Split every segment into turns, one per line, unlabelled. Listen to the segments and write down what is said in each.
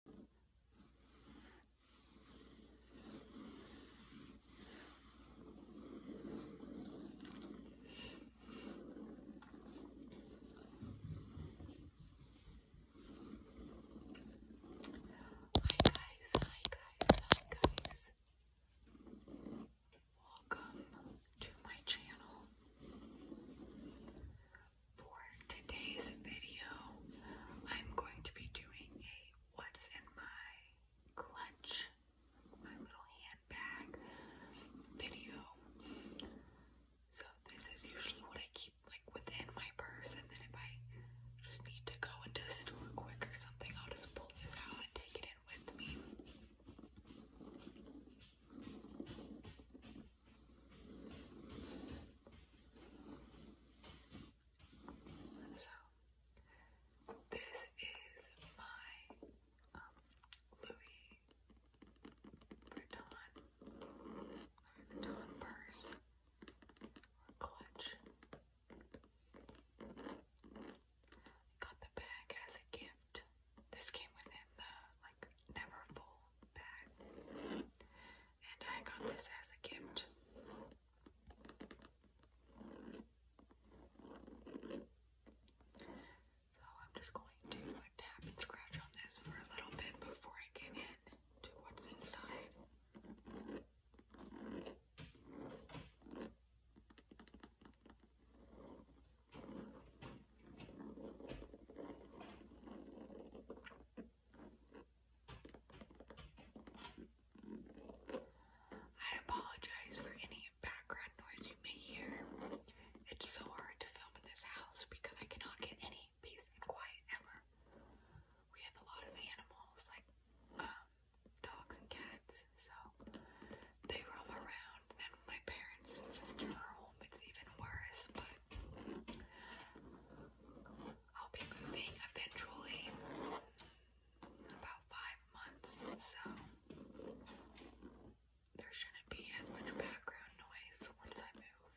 Hi guys, hi guys, hi guys. Welcome to my channel. For today's video, I'm going to be doing a what's in my clutch, my little handbag video. So this is usually what I keep like within my purse and then if I just need to go into the store quick or something, I'll just pull this out and take it in with me. So, this is my um, Louis Vuitton purse or clutch. Got the bag as a gift. This came within the like never full bag and I got this as a gift. So I'm just going to tap and scratch on this for a little bit before I get into what's inside. I apologize for any background noise you may hear. It's so hard to film in this house because I cannot get any peace and quiet ever. We have a lot of animals, like um, dogs and cats, so they roam around. And my parents and sister are home, it's even worse, but I'll be moving eventually about five months, so there shouldn't be as background noise once I move.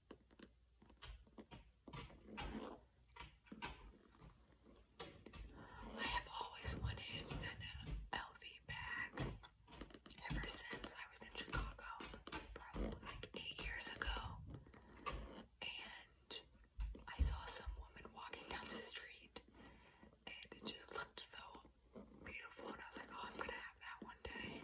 I have always wanted an LV bag ever since I was in Chicago, probably like eight years ago. And I saw some woman walking down the street, and it just looked so beautiful. And I was like, oh, I'm gonna have that one day.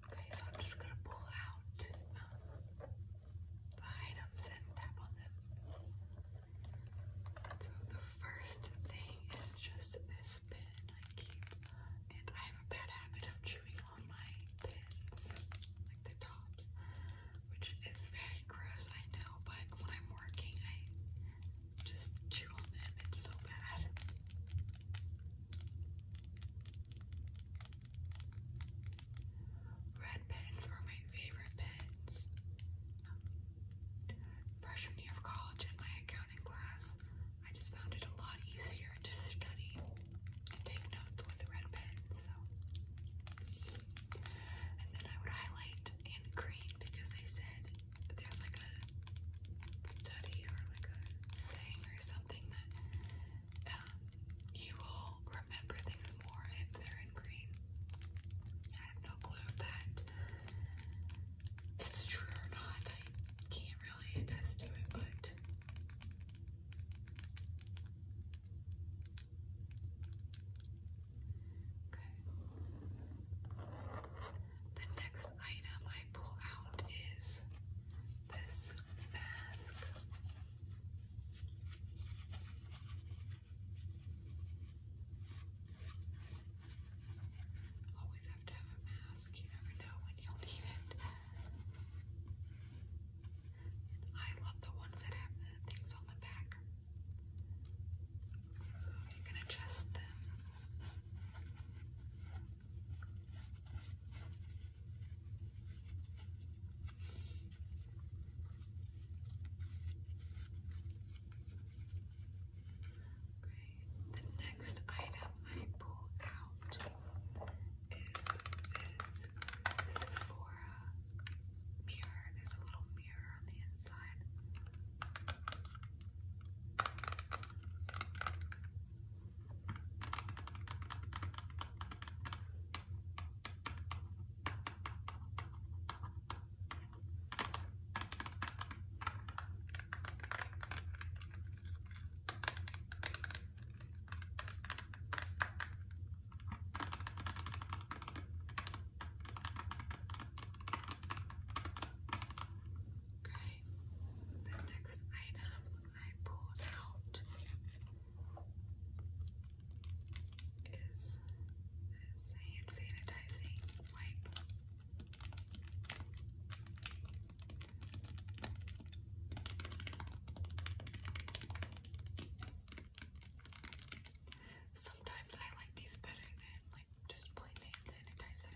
Okay, so I'm just gonna pull out um, the items and tap on them. So the first thing is just this pen and I have a bad habit of chewing on my pens, like the tops, which is very gross, I know, but when I'm working, I just chew on them. It's so bad. Red pens were my favorite pens. Freshman year of college in my accounting class, I just found it a lot easier to study and take notes with red pens. So. And then I would highlight in green because they said there's like a study or like a saying or something that um, you will remember things more if they're in green. I have no clue if that is true or not. I can't really attest to it, but. Okay. The next item I pull out is this on Always have to have a mask, you never know when you'll need it. I love the ones that have the things on the back. you can adjust them. Okay, the next item I pulled out is this Sephora mirror. There's a little mirror on the inside. Okay, the next item I pulled out is this hand sanitizing wipe. Sometimes I like these better than like just plain hand sanitizer.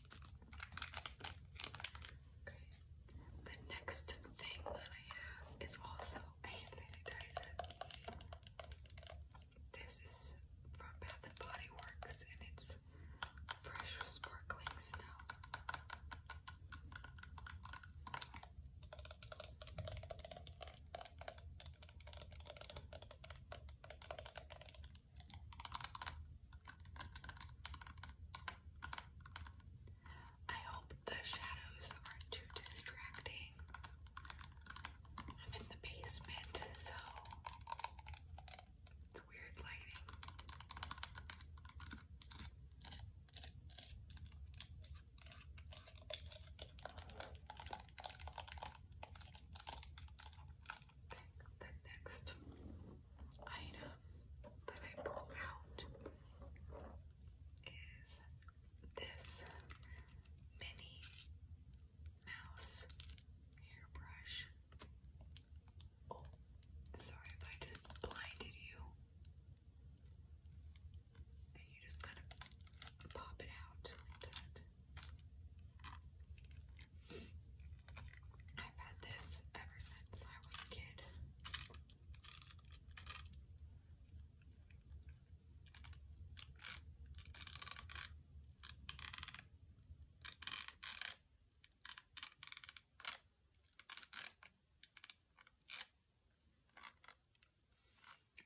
Okay. The next thing that I have is also a sanitizer. This is from Bath and Body Works and it's fresh sparkling snow. I hope the shadows aren't too distracting. I'm in the basement, so it's weird lighting. the next item that I pulled out is this mini mouse hairbrush. Oh, sorry if I just blinded you. And you just kind of pop it out like that. I've had this ever since I was a kid.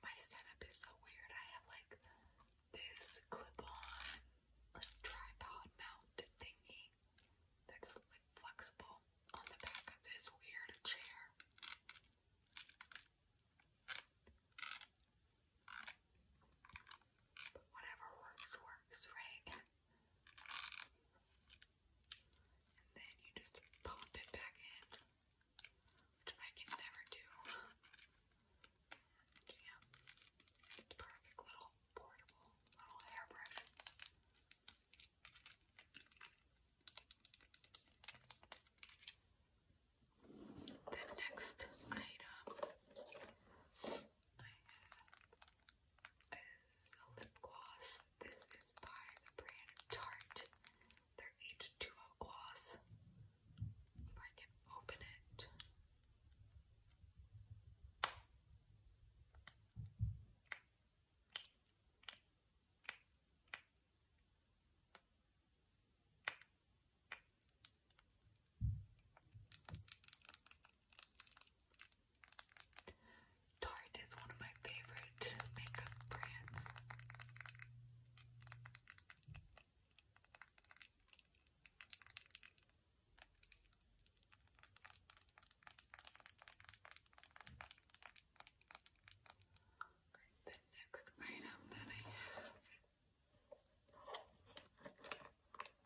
My setup is so weird. I have like this clip on, tripod mount thingy, that's like flexible on the back of this weird chair. whatever works, works, right? And then you just pop it back in, which I can never do. perfect little portable little hairbrush. The next item I have is a lip gloss. This is by the brand Tarte. Their H2O gloss. If I can open it. Tarte is one of my favorite makeup brands. Right, the next item that I have,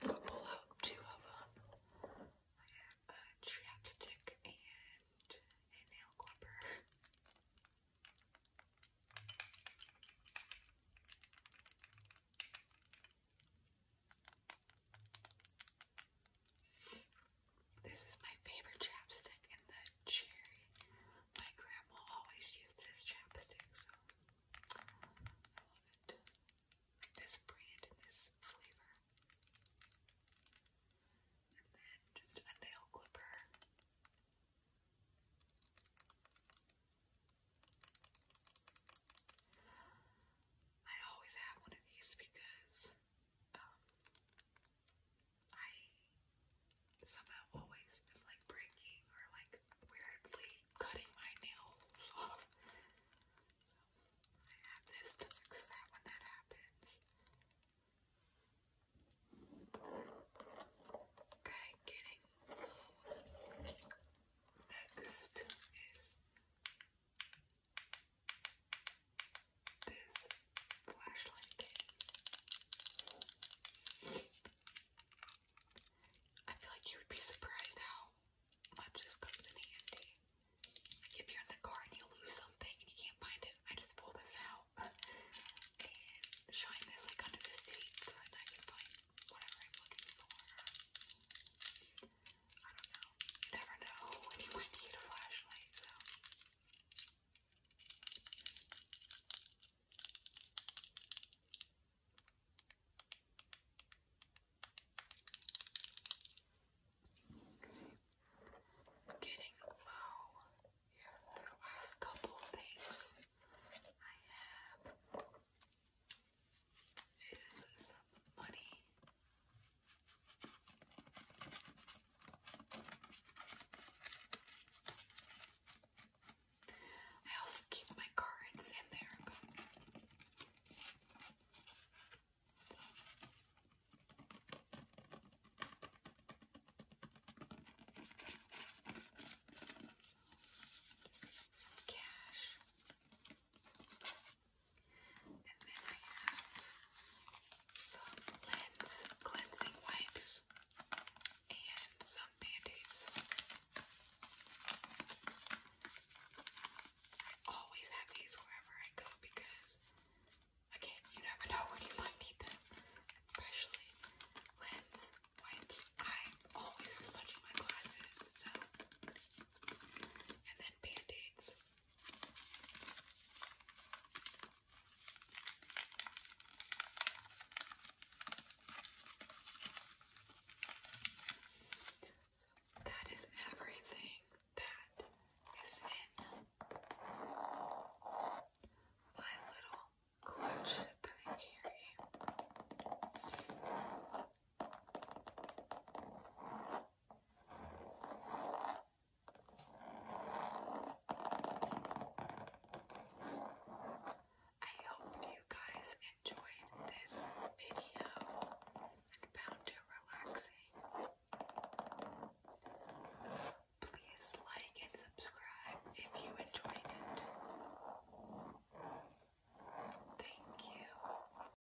I'll pull out two of them. a chapstick and a nail clipper. This is my favorite chapstick in the cherry. My grandma always used this chapstick, so I love it. this brand and this flavor. And then just a nail clipper. I always have one of these because um, I somehow always am like breaking or like weirdly cutting my nails off. So I have this to fix that when that happens. Okay, getting low. Next is this flashlight I feel like you would be surprised how much this comes in handy. Like if you're in the car and you lose something and you can't find it, I just pull this out and shine this like under the seat so I can find whatever I'm looking for. I don't know. never know when you might need a flashlight, so. Getting low here last couple things I have is money. I also keep my cards in there, but cash. And then I have some cleanse, cleansing wipes and some band-aids. I always have these wherever I go because, again, you never know when you might need them, especially lens wipes. i always smudging my glasses, so. And then band-aids. That is everything that is in my little clutch that I carry. I hope you guys enjoyed this video and found it relaxing. Please like and subscribe if you enjoyed it. Thank you.